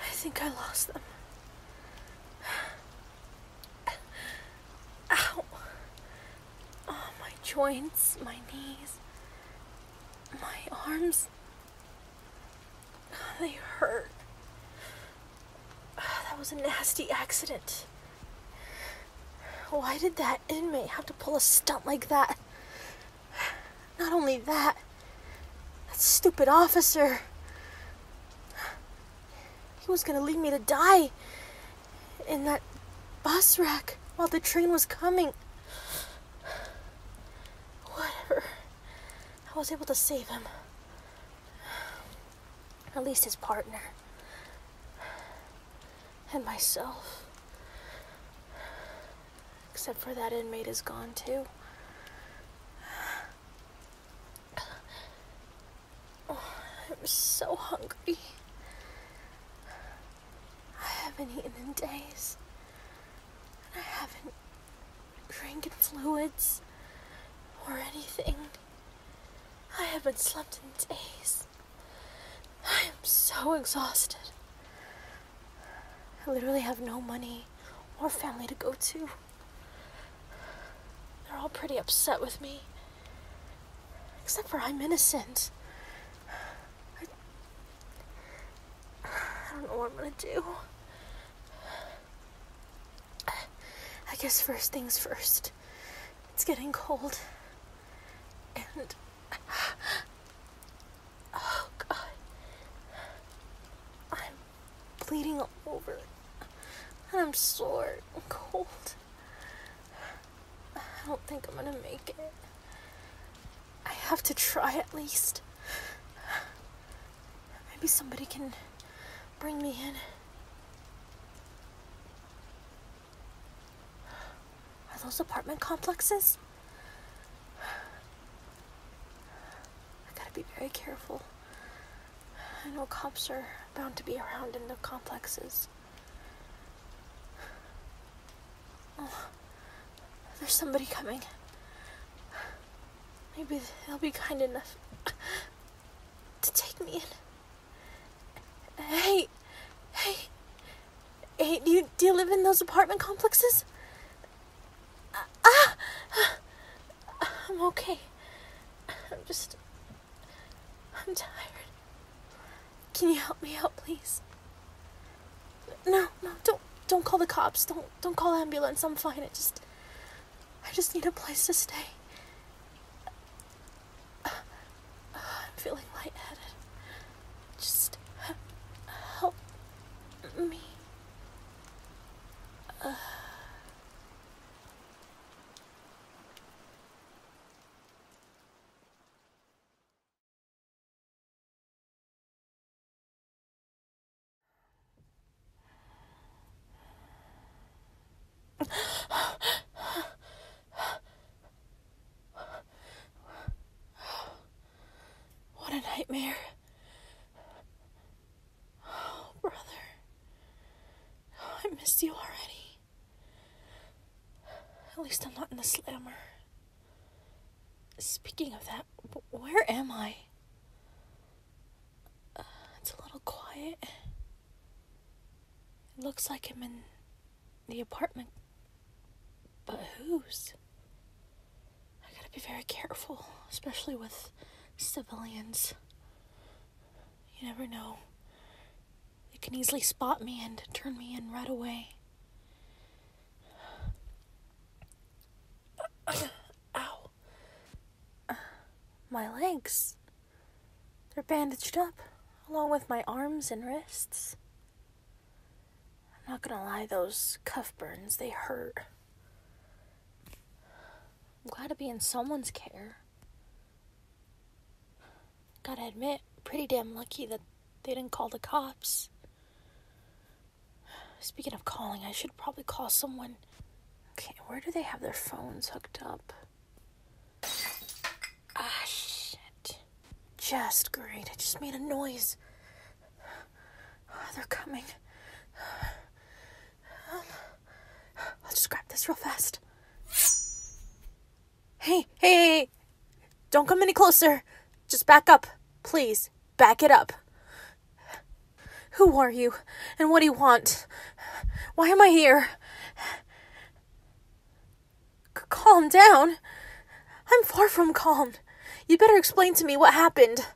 I think I lost them. Ow. Oh, my joints, my knees, my arms. They hurt. That was a nasty accident. Why did that inmate have to pull a stunt like that? Not only that, that stupid officer. He was gonna leave me to die in that bus wreck while the train was coming. Whatever. I was able to save him. At least his partner. And myself. Except for that inmate is gone too. Oh, I'm so hungry. I haven't eaten in days. I haven't drinking fluids or anything. I haven't slept in days. I am so exhausted. I literally have no money or family to go to. They're all pretty upset with me. Except for I'm innocent. I, I don't know what I'm gonna do. I guess first things first. It's getting cold. And. Oh, God. I'm bleeding all over. And I'm sore and cold. I don't think I'm gonna make it. I have to try at least. Maybe somebody can bring me in. Are those apartment complexes? I gotta be very careful. I know cops are bound to be around in the complexes. Oh, there's somebody coming. Maybe they'll be kind enough to take me in. Hey, hey, hey, do you, do you live in those apartment complexes? Ah, I'm okay. I'm just, I'm tired. Can you help me out, please? No, no, don't, don't call the cops. Don't, don't call ambulance. I'm fine. I just I just need a place to stay. I'm feeling lightheaded. Just help me. What a nightmare. Oh, brother. Oh, I missed you already. At least I'm not in the slammer. Speaking of that, where am I? Uh, it's a little quiet. It looks like I'm in the apartment. But whose? I gotta be very careful, especially with civilians. You never know. They can easily spot me and turn me in right away. Ow. My legs. They're bandaged up, along with my arms and wrists. I'm not gonna lie, those cuff burns, they hurt. I'm glad to be in someone's care. Gotta admit, pretty damn lucky that they didn't call the cops. Speaking of calling, I should probably call someone. Okay, where do they have their phones hooked up? Ah, shit. Just great. I just made a noise. Oh, they're coming. Um, I'll just grab this real fast. hey, hey, don't come any closer. Just back up, please. Back it up. Who are you? And what do you want? Why am I here? calm down. I'm far from calm. You better explain to me what happened.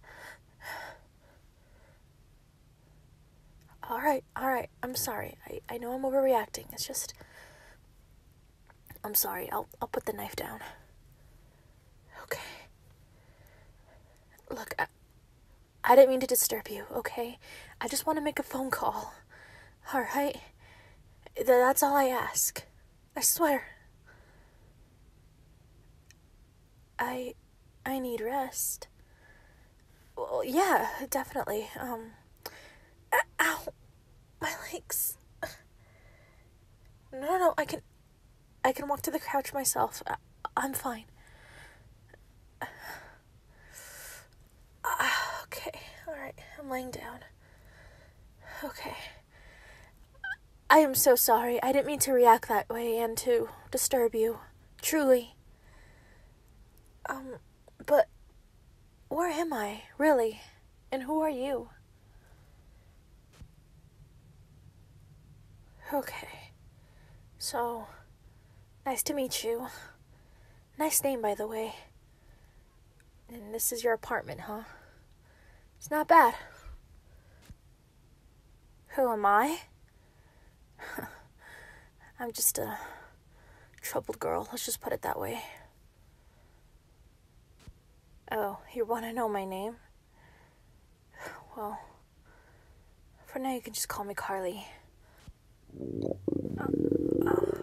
All right, all right. I'm sorry. I, I know I'm overreacting. It's just I'm sorry. I'll I'll put the knife down. Okay. Look, I, didn't mean to disturb you, okay? I just want to make a phone call. All right? that's all I ask. I swear. I I need rest. Well, yeah, definitely. Um Ow. My legs. no, no, I can I can walk to the couch myself. I- am fine. Ah, okay, alright, I'm laying down. Okay. I am so sorry. I didn't mean to react that way and to disturb you. Truly. Um, but where am I, really? And who are you? Okay. So, nice to meet you. Nice name, by the way. And this is your apartment, huh? It's not bad. Who am I? I'm just a troubled girl, let's just put it that way. Oh, you want to know my name? Well, for now you can just call me Carly. Uh, uh.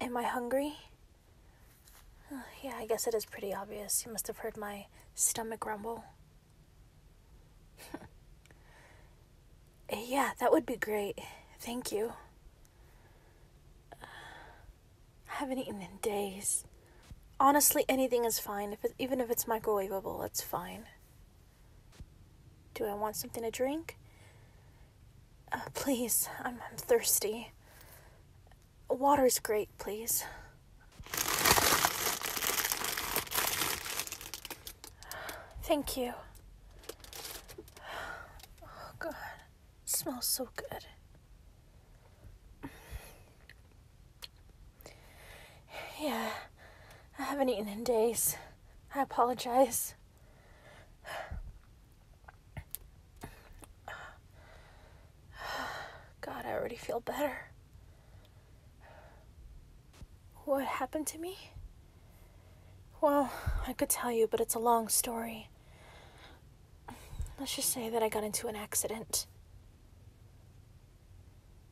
am I hungry? Uh, yeah, I guess it is pretty obvious. You must have heard my stomach rumble. yeah, that would be great. Thank you. I haven't eaten in days. Honestly, anything is fine. If even if it's microwavable, it's fine. Do I want something to drink? Uh, please, I'm, I'm thirsty. Water's great, please. Thank you. Oh, God smells so good. Yeah, I haven't eaten in days. I apologize. God, I already feel better. What happened to me? Well, I could tell you, but it's a long story. Let's just say that I got into an accident.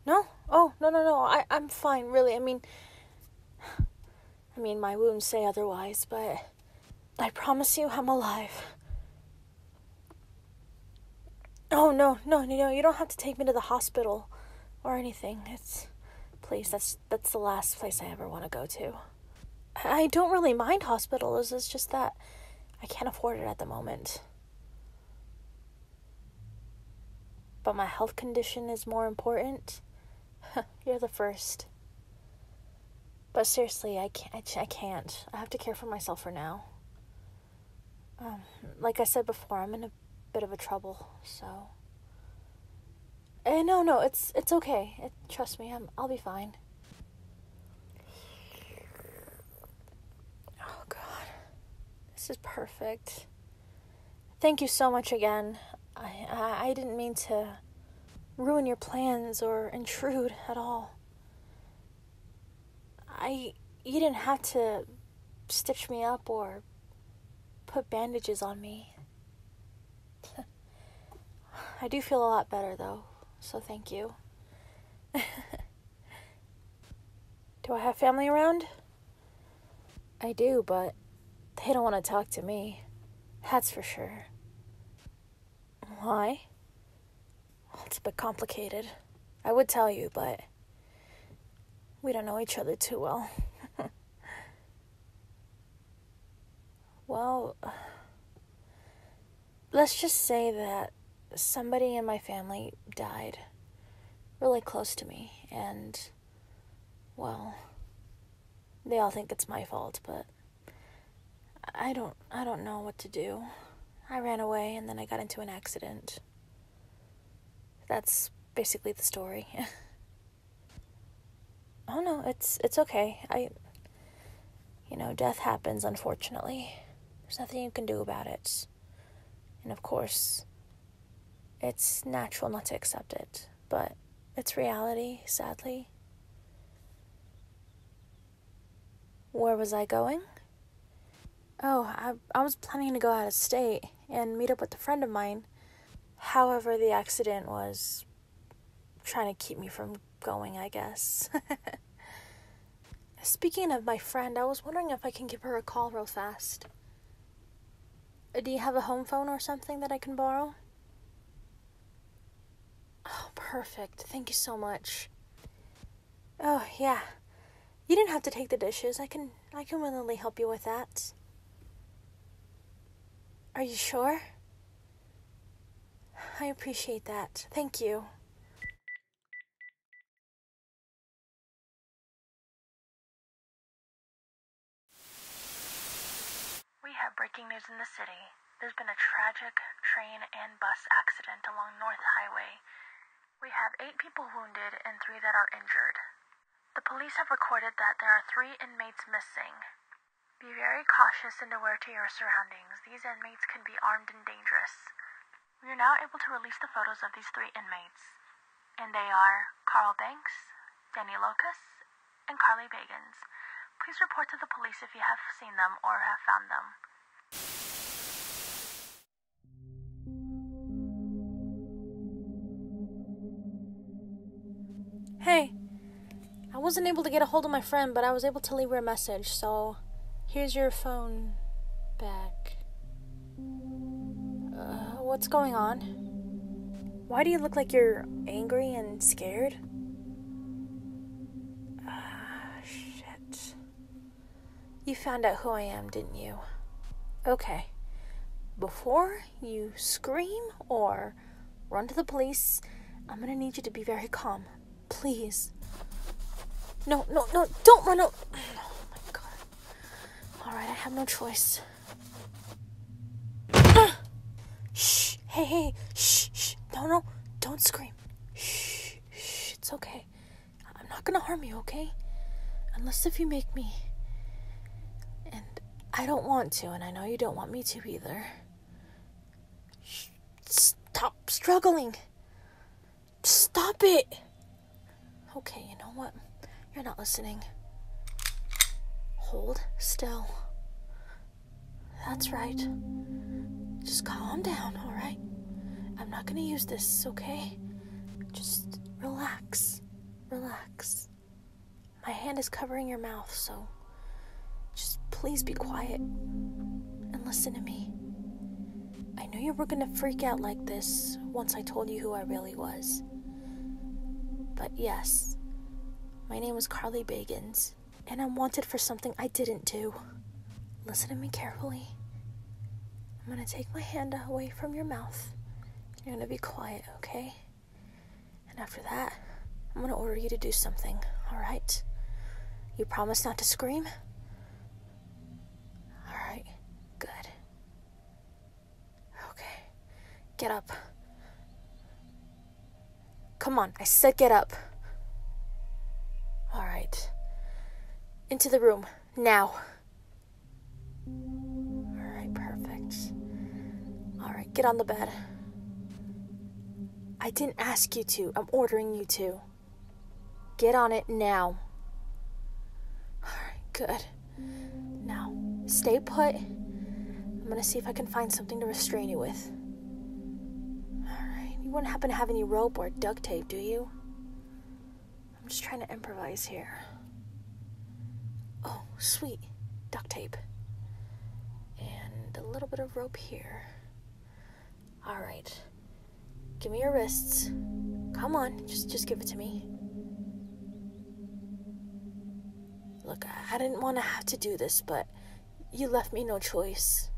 No? Oh, no, no, no. I, I'm fine, really. I mean, I mean, my wounds say otherwise, but I promise you I'm alive. Oh, no, no, no, you don't have to take me to the hospital or anything. It's. Please, that's, that's the last place I ever want to go to. I don't really mind hospitals, it's just that I can't afford it at the moment. But my health condition is more important. You're the first. But seriously, I can't. I, can't. I have to care for myself for now. Um, like I said before, I'm in a bit of a trouble, so Eh, no, no, it's it's okay. trust me, I'm, I'll be fine. Oh God, this is perfect. Thank you so much again. I, I, I didn't mean to ruin your plans or intrude at all. I you didn't have to stitch me up or put bandages on me. I do feel a lot better though, so thank you. do I have family around? I do, but they don't want to talk to me. That's for sure. Why? it's a bit complicated. I would tell you, but we don't know each other too well. Well, let's just say that somebody in my family died really close to me, and, well, they all think it's my fault, but I don't, I don't know what to do. I ran away and then I got into an accident. That's basically the story. Oh no, it's it's okay. I you know, death happens unfortunately. There's nothing you can do about it. And of course, it's natural not to accept it, but it's reality, sadly. Where was I going? Oh, I, I was planning to go out of state and meet up with a friend of mine. However, the accident was trying to keep me from going, I guess. Speaking of my friend, I was wondering if I can give her a call real fast. Do you have a home phone or something that I can borrow? Oh, perfect. Thank you so much. Oh, yeah. You didn't have to take the dishes. I can I can willingly help you with that. Are you sure? I appreciate that. Thank you. We have breaking news in the city. There's been a tragic train and bus accident along North Highway. We have eight people wounded and three that are injured. The police have recorded that there are three inmates missing. Be very cautious and aware to your surroundings. These inmates can be armed and dangerous. We are now able to release the photos of these three inmates. And they are Carl Banks, Danny Locus, and Carly Bagans. Please report to the police if you have seen them or have found them. Hey, I wasn't able to get a hold of my friend, but I was able to leave her a message, so here's your phone back. Uh, what's going on? Why do you look like you're angry and scared? Ah, shit. You found out who I am, didn't you? Okay, before you scream or run to the police, I'm gonna need you to be very calm. Please. No, no, no, don't run out. Oh my god. Alright, I have no choice. Shh, hey, hey, shh, shh. don't, don't scream. Shh, shh, it's okay. I'm not gonna harm you, okay? Unless if you make me. And I don't want to, and I know you don't want me to either. Shh, stop struggling! Stop it! Okay, you know what? You're not listening. Hold still. That's right. Just calm down, alright? I'm not gonna use this, okay? Just relax. Relax. My hand is covering your mouth, so just please be quiet and listen to me. I knew you were gonna freak out like this once I told you who I really was. But yes, my name is Carly Bagans, and I'm wanted for something I didn't do. Listen to me carefully. I'm going to take my hand away from your mouth. You're going to be quiet, okay? And after that, I'm going to order you to do something, alright? You promise not to scream? Alright, good. Okay, get up. Come on, I said get up. Alright. Into the room, now. All right, perfect. All right, get on the bed. I didn't ask you to. I'm ordering you to. Get on it now. All right, good. Now, stay put. I'm gonna see if I can find something to restrain you with. All right, you wouldn't happen to have any rope or duct tape, do you? I'm just trying to improvise here. Oh, sweet. Duct tape. And a little bit of rope here. Alright. Give me your wrists. Come on, just just give it to me. Look, I didn't want to have to do this, but you left me no choice.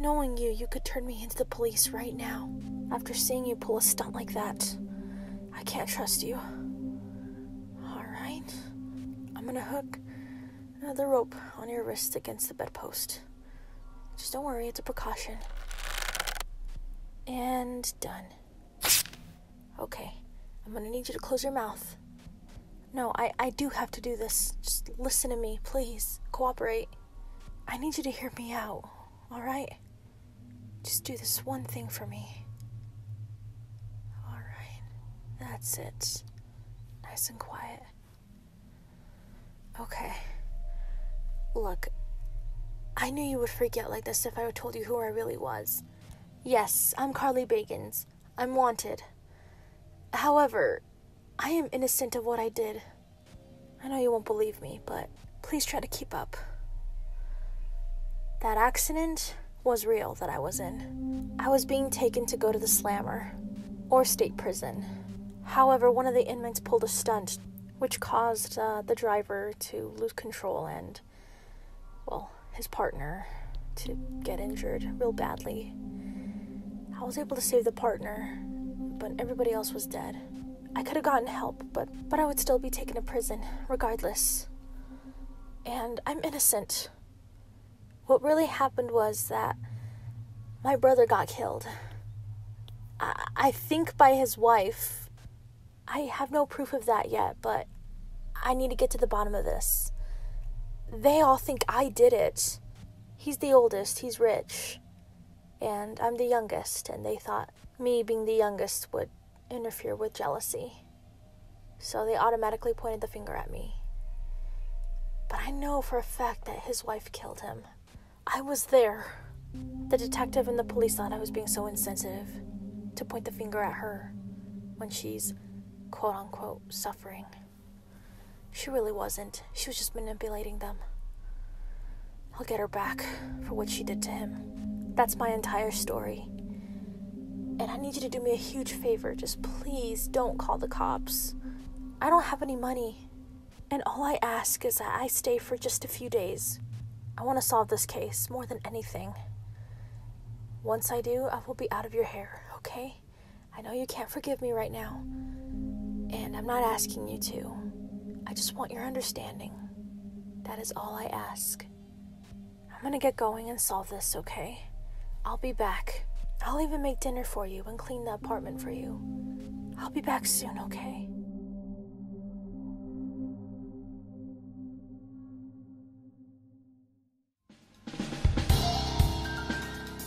Knowing you, you could turn me into the police right now. After seeing you pull a stunt like that. I can't trust you. Alright. I'm gonna hook the rope on your wrist against the bedpost. Just don't worry, it's a precaution. And done. Okay, I'm gonna need you to close your mouth. No, I, I do have to do this. Just listen to me, please. Cooperate. I need you to hear me out, all right? Just do this one thing for me. All right, that's it. Nice and quiet. Okay. Look, I knew you would freak out like this if I told you who I really was. Yes, I'm Carly Bagans. I'm wanted. However, I am innocent of what I did. I know you won't believe me, but please try to keep up. That accident was real that I was in. I was being taken to go to the slammer or state prison. However, one of the inmates pulled a stunt which caused uh, the driver to lose control and, well, his partner to get injured real badly. I was able to save the partner, but everybody else was dead. I could have gotten help, but, but I would still be taken to prison, regardless. And I'm innocent. What really happened was that my brother got killed. I, I think by his wife. I have no proof of that yet, but I need to get to the bottom of this. They all think I did it. He's the oldest, he's rich and I'm the youngest, and they thought me being the youngest would interfere with jealousy. So they automatically pointed the finger at me. But I know for a fact that his wife killed him. I was there. The detective and the police thought I was being so insensitive to point the finger at her when she's quote unquote suffering. She really wasn't. She was just manipulating them. I'll get her back for what she did to him. That's my entire story. And I need you to do me a huge favor. Just please don't call the cops. I don't have any money. And all I ask is that I stay for just a few days. I want to solve this case more than anything. Once I do, I will be out of your hair, okay? I know you can't forgive me right now, and I'm not asking you to. I just want your understanding. That is all I ask. I'm gonna get going and solve this, okay? I'll be back. I'll even make dinner for you and clean the apartment for you. I'll be back soon, okay?